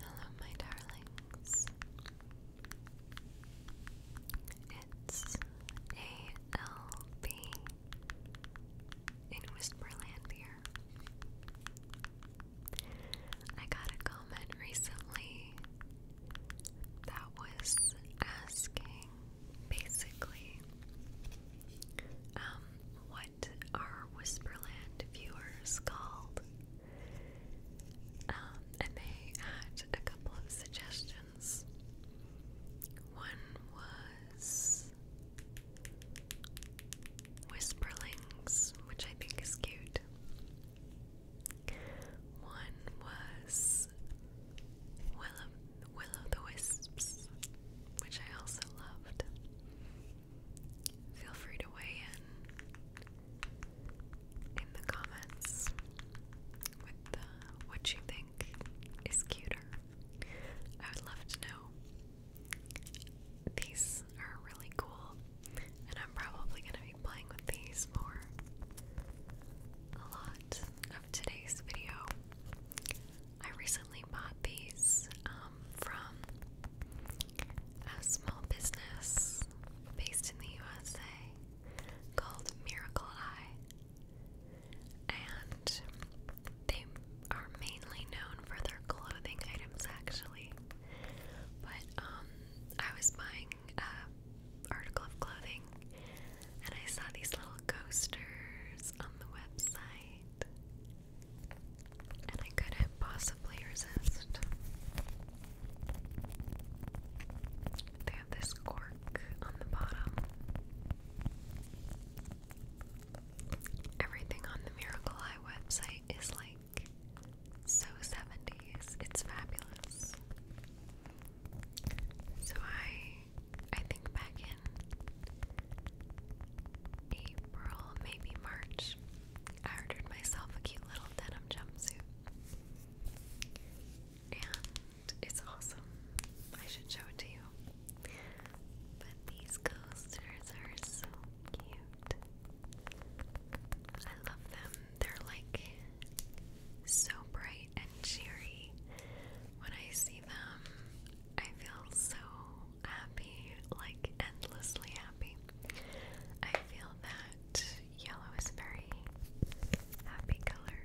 Hello, my darlings. It's ALB in Whisperland here. I got a comment recently that was asking basically um, what our Whisperland viewers called. Um, and they had a couple of suggestions. One was Whisperlings, which I think is cute. One was Will o the Wisps, which I also loved. Feel free to weigh in in the comments with uh, what you think is cuter. I would love to know. These are really cool, and I'm probably going to be playing with these for a lot of today's video. I recently bought these um, from a small business based in the USA called Miracle Eye. And they are mainly known for their clothing items actually. But um, I was buying a article of clothing and I saw these little coasters on the website and I couldn't possibly resist. They have this cork on the bottom. Everything on the Miracle Eye website is like so 70s. It's fabulous. So I I think back in April, maybe March, I ordered myself a cute little denim jumpsuit. And it's awesome. I should show it to you. But these coasters are so cute. I love them. They're like so bright and cheery. When I see them, I feel so happy, like endlessly happy. I feel that yellow is very happy color.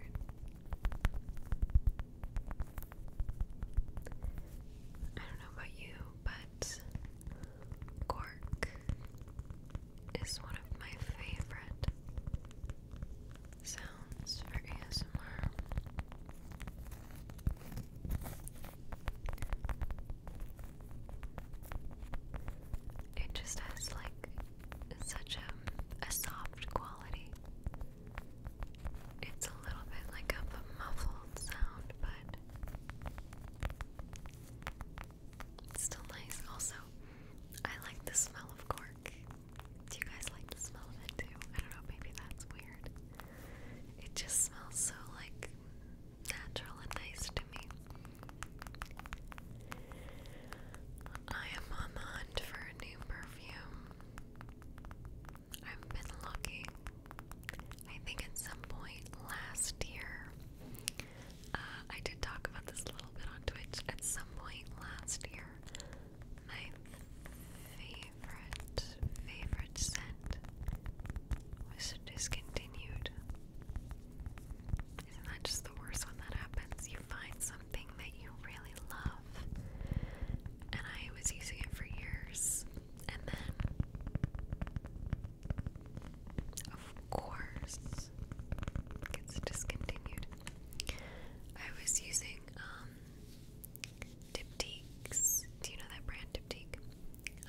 I don't know about you, but cork is one of my favorite sounds for ASMR. It just has like such a, um, a soft quality. It's a little bit like a muffled sound, but still nice. Also, I like the smell of cork. Do you guys like the smell of it too? I don't know, maybe that's weird. It just smells so like natural and nice to me. I am on the hunt for a new perfume. I've been looking. I think at some point last year, uh, I did talk about this a little bit on Twitch. At some point last year, my favorite, favorite scent was discontinued. Isn't that just the worst when that happens? You find something that you really love, and I was using it for years, and then, of course, gets discontinued. I was using, um, Diptyques. Do you know that brand Diptyque?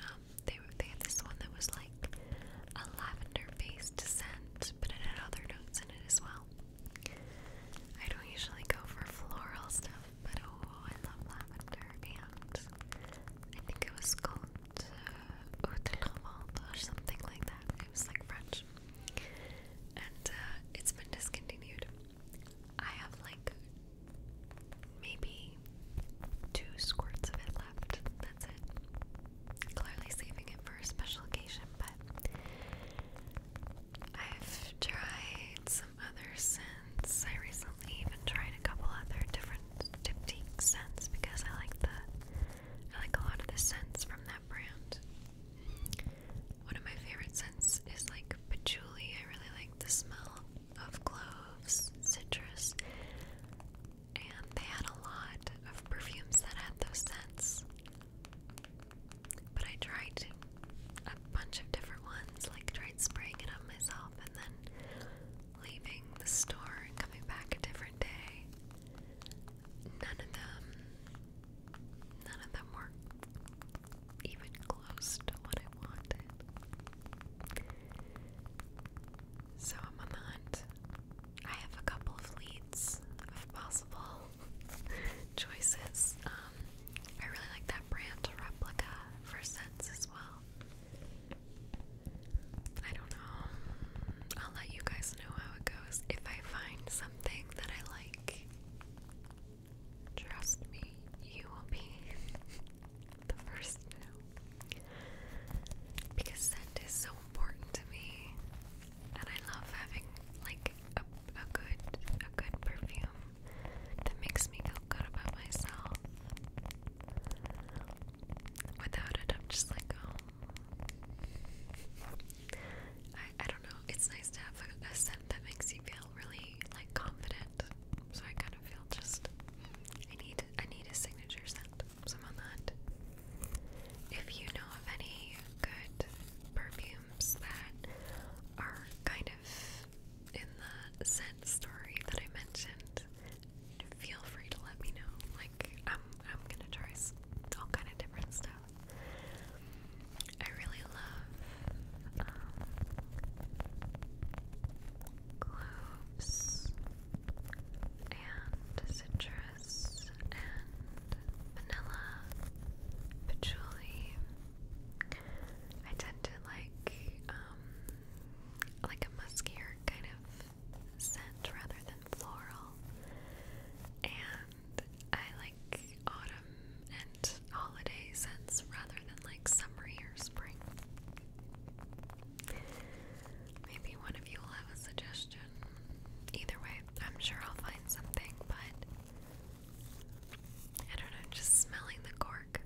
Um, they they had this one that was like a lavender-based scent, but it had other notes in it as well. I don't usually go for floral stuff, but oh, I love lavender, and I think it was called uh, Eau or something like that. It was like French, and uh, it's been discontinued. I have like maybe two squirts of it left. That's it. Clearly saving it for a special occasion, but I've tried some other scents. I recently even tried a couple other different diptyque scents because I like the I like a lot of the scents from that brand. One of my favorite scents is like patchouli. I really like the smell of cloves, citrus, and they had a lot of perfumes that had those scents. But I tried a bunch of different ones, like tried spraying it on myself and then leaving the store and coming back a different day. None of them, none of them worked even close to what I wanted. So I'm on the hunt. I have a couple of leads of possible choices. Um, I really like that brand replica for scents as well. I don't know. I'll let you guys know how it goes. If I find something that I like, Trust me, you will be the first to know. Because scent is so important to me. And I love having like a, a good a good perfume that makes me feel good about myself. Without it, I'm just like, oh. I, I don't know. It's nice to have a, a scent that makes you feel really like confident so I kind of feel just I need I need a signature scent. Some on that. If you know of any good perfumes that are kind of in the scent story that I mentioned, feel free to let me know. Like I'm I'm gonna try all kind of different stuff. I really love um, cloves and citrus and vanilla, patchouli. I tend to like um, like a muskier kind of scent rather than floral, and I like autumn and holiday scents rather than like summery or spring. Maybe one of you will have a suggestion. Either way, I'm sure I'll find something, but I don't know, just smelling the cork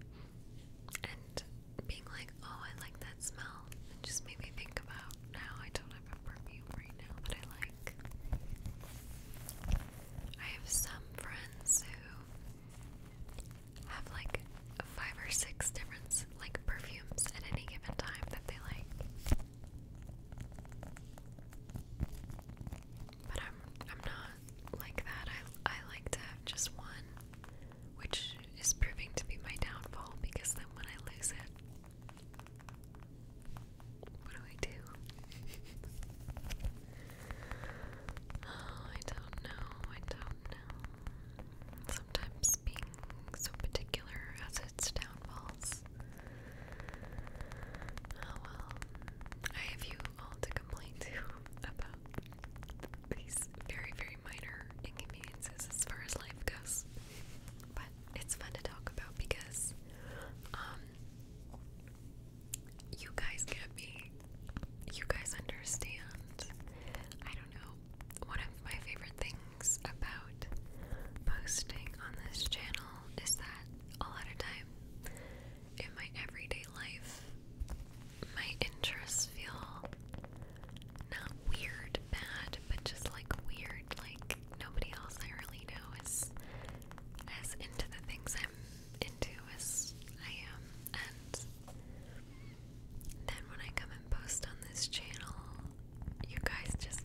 and being like, oh, I like that smell. just made me think about how I don't have a perfume right now that I like. I have some friends who have like five or six different like perfumes at any given time that they like. But I'm I'm not like that. I I like to have just one, which is proving to be my downfall because then when I lose it what do I do? Oh, I don't know. I don't know. Sometimes being so particular has its downfalls. Oh well. I have you all to complain to about these very, very minor inconveniences as far as life goes. But it's fun to talk about because, um, you guys get me. You guys understand. I don't know. One of my favorite things about posting on this channel is that a lot of time in my everyday life, my interests feel not weird, bad, but just like weird. Like nobody else I really know is as into the things I'm into as I am, and then when I come and post on this channel, you guys just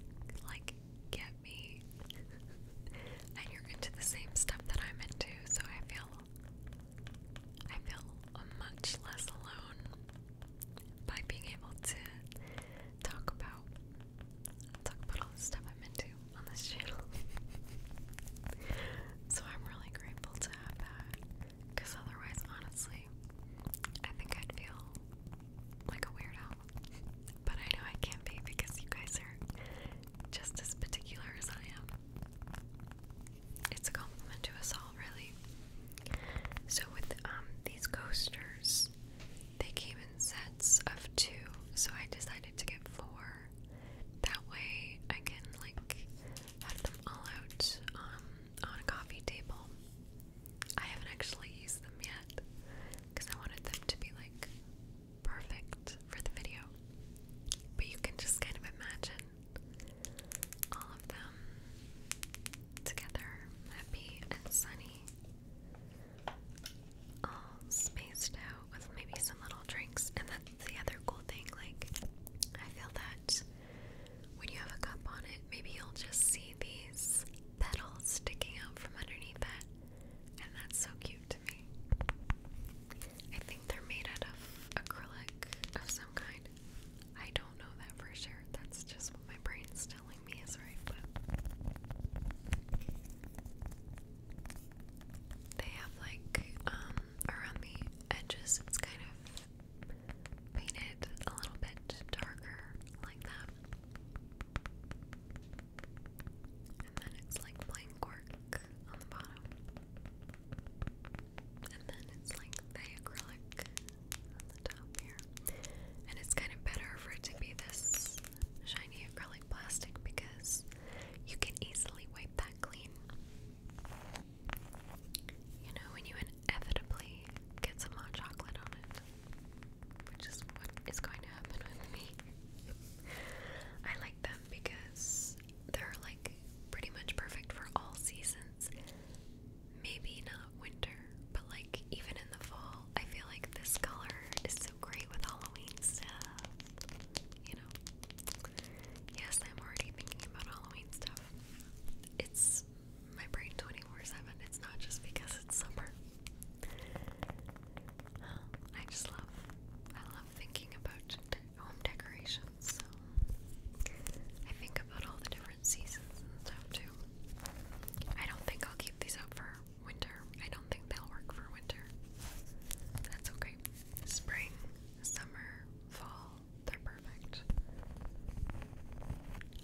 like get me, and you're into the same stuff that I'm into, so I feel I feel much less alone by being able to talk about talk about all the stuff I'm into on this channel. so I'm really grateful to have that. Because otherwise, honestly, I think I'd feel like a weirdo. But I know I can't be because you guys are just as particular as I am. It's a compliment to us all, really. So, with um, these coasters, they came in sets of two, so I decided to get four that way I can like have them all out um, on a coffee table. I haven't actually used them yet because I wanted them to be like perfect for the video. But you can just kind of imagine all of them together, happy and sunny all spaced out with maybe some little drinks. And that's the other cool thing. Like, I feel that when you have a cup on it, maybe you'll just see these petals sticking out from underneath it. And that's so cute to me. I think they're made out of acrylic of some kind. I don't know that for sure. That's just what my brain's telling me is right, but they have like um around the edges it's kind of painted a little bit darker like that. And then it's like plain cork on the bottom. And then it's like the acrylic on the top here. And it's kind of better for it to be this shiny acrylic plastic because you can easily wipe that clean. You know, when you inevitably get some hot chocolate on it, which is what is going to happen with me. I like them because they're like pretty much perfect for all seasons. Maybe not winter, but like even in the fall, I feel like this color is so great with Halloween stuff. You know? Yes, I'm already thinking about Halloween stuff. It's my brain 24 7. It's not just because it's summer. Um, I just love, I love thinking about home decorations. So I think about all the different seasons and stuff too. I don't think I'll keep these up for winter. I don't think they'll work for winter. That's okay. Spring, summer, fall, they're perfect.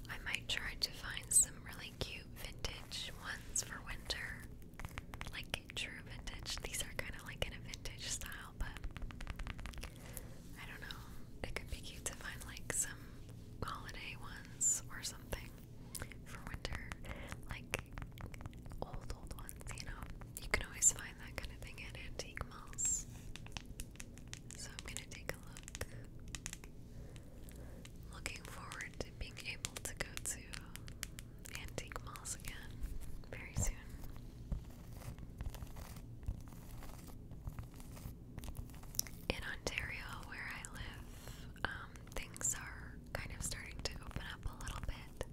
I might try to find some really cute vintage ones for winter. Like true vintage. These are kind of like in a vintage style, but I don't know. It could be cute to find like some holiday ones or something for winter, like old old ones, you know. You can always find that kind of thing at antique malls. So I'm gonna take a look. Looking forward to being able to go to antique malls again very soon. In Ontario, where I live, um, things are kind of starting to open up a little bit.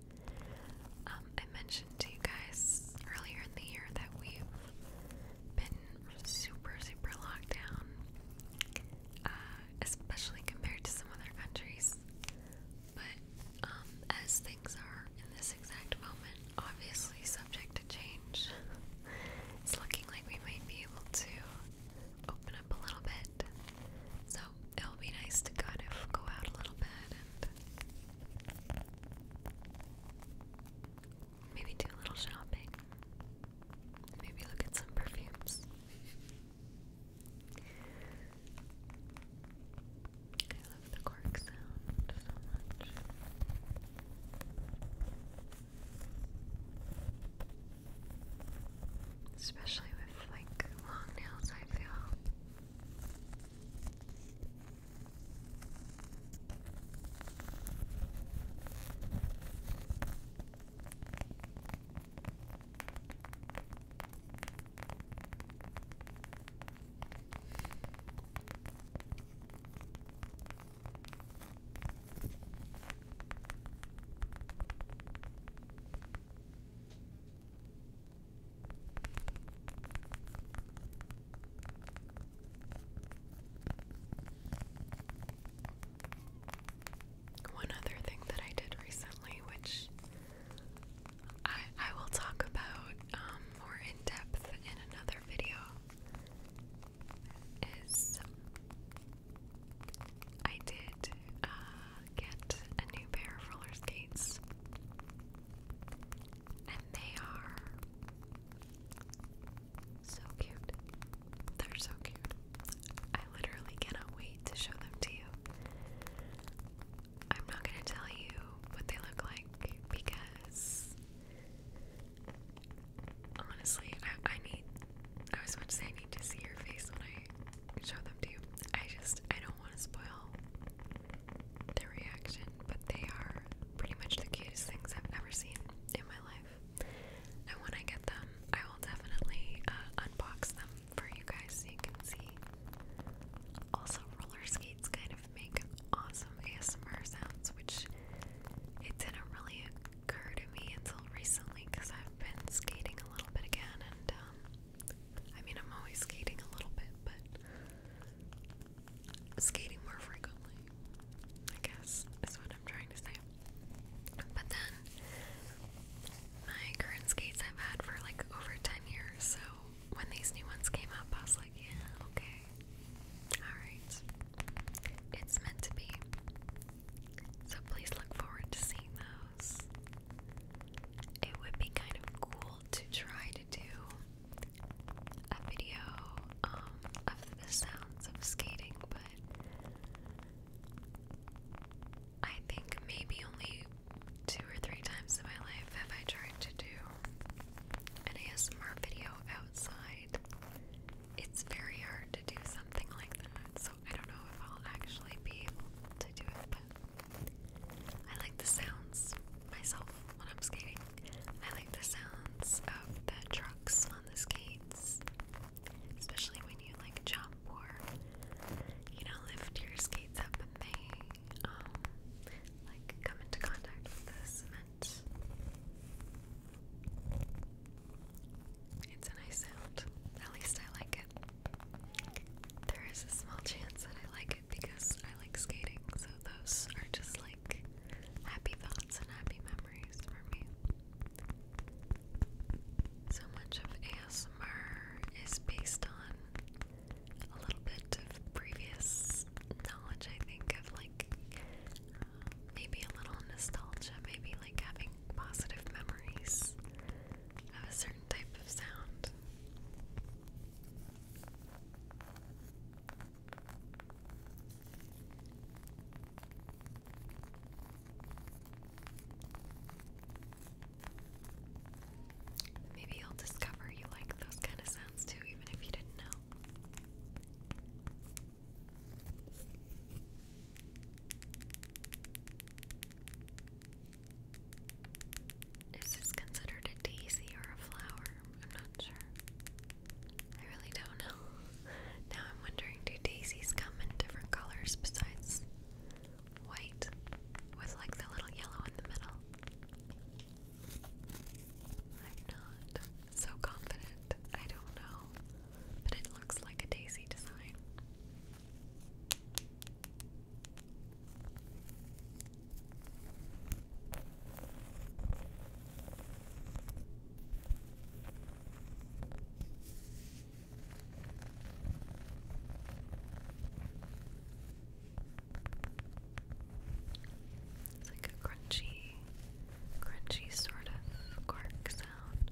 Um, I mentioned to you guys earlier in the year that we've been super, super locked down, uh, especially compared to some other countries. But um, as things are in this exact moment, obviously subject to change, it's looking like we might be able to open up a little bit. So it'll be nice to kind of go out a little bit and maybe do a little shopping. Maybe look at some perfumes. I love the cork sound so much. Especially with like long nails, I feel. One other thing that I did recently, which I, I will talk about um, more in depth in another video, is I did uh, get a new pair of roller skates. And they are so cute. They're so cute. I literally cannot wait to show them to you. I'm not gonna tell you what they look like because honestly, I, I need. I was about to say I need to see your face when I show them to you. I just I don't want to spoil their reaction, but they are pretty much the cutest things I've ever seen in my life. And when I get them, I will definitely uh, unbox them for you guys so you can see. Also, roller skates kind of make awesome ASMR sounds, which it didn't really occur to me until recently because I've been skating a little bit again and um, I mean, I'm always skating a little bit, but skating more frequently, I guess, is what I'm trying to say. But then, my current skates I've had for like over 10 years, so when these new ones came up, I was like, yeah, okay. Alright. It's meant to be. So please look forward to seeing those it would be kind of cool to try to do a video um, of the sounds of skating, but I think maybe only two or three times in my life have I tried to do an ASMR video outside. It's very hard to do something like that, so I don't know if I'll actually be able to do it, but I like the sounds myself when I'm skating. I like the sounds of the trucks on the skates, especially when you like jump or you know lift your skates up and they um, like come into contact with the cement. It's a nice sound. At least I like it. There is a small chance that I like it because I like skating, so those are just like happy thoughts and happy memories for me. So much of ASMR is based on a little bit of previous knowledge, I think, of like maybe a little nostalgia, maybe like having positive memories have a certain type of sound. Maybe you'll discover you like those kind of sounds too, even if you didn't know. Is this considered a daisy or a flower? I'm not sure. I really don't know. Now I'm wondering do daisies come in different colors besides white with like the little yellow in the middle? I'm not so confident. I don't know. But it looks like a daisy design. It's like a crunchy, crunchy sort of cork sound.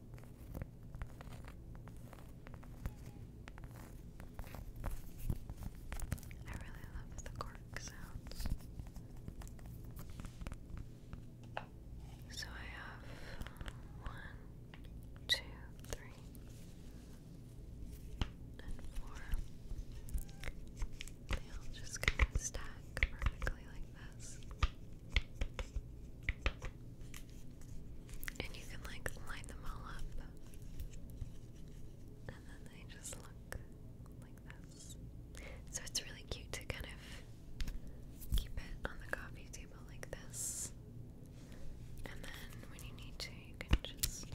I really love the cork sounds. So I have one, two, three, and four. They all just kind of stack perfectly like this. And you can like line them all up. And then they just look like this. So it's really cute to kind of keep it on the coffee table like this. And then when you need to, you can just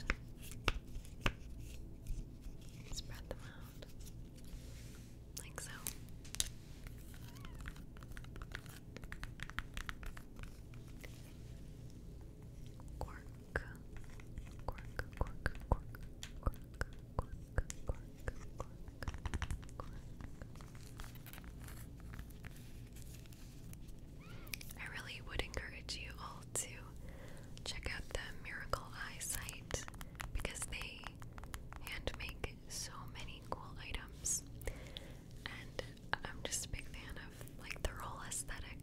spread them out like so. Quark, quark, quark, quark, quark, quark, quark, quark, quark, quark. I really would encourage you all to check out the Miracle eyesight because they and make so many cool items. And I'm just a big fan of like their roll aesthetic.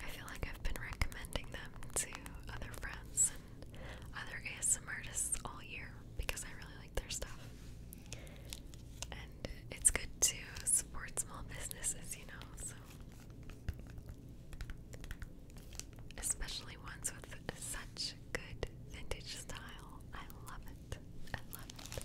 I feel like I've been recommending them to other friends and other ASM artists all year because I really like their stuff. And it's good to support small businesses, you know, so especially ones with such good vintage style. I love it. I love it.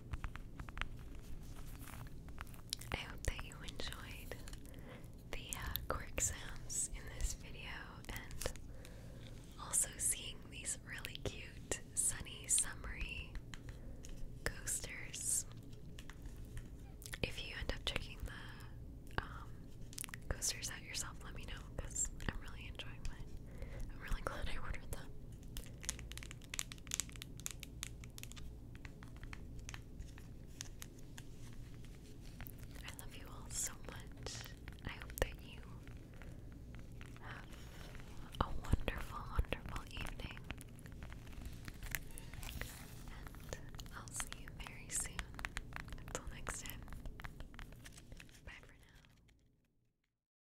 I hope that you enjoyed the uh, quirk sounds in this video and also seeing these really cute sunny summery coasters. If you end up checking the um, coasters out yourself, let me know because I'm really enjoying mine. I'm really glad I ordered them. I love you all so much. I hope that you have a wonderful, wonderful evening. And I'll see you very soon. Until next time. Bye for now.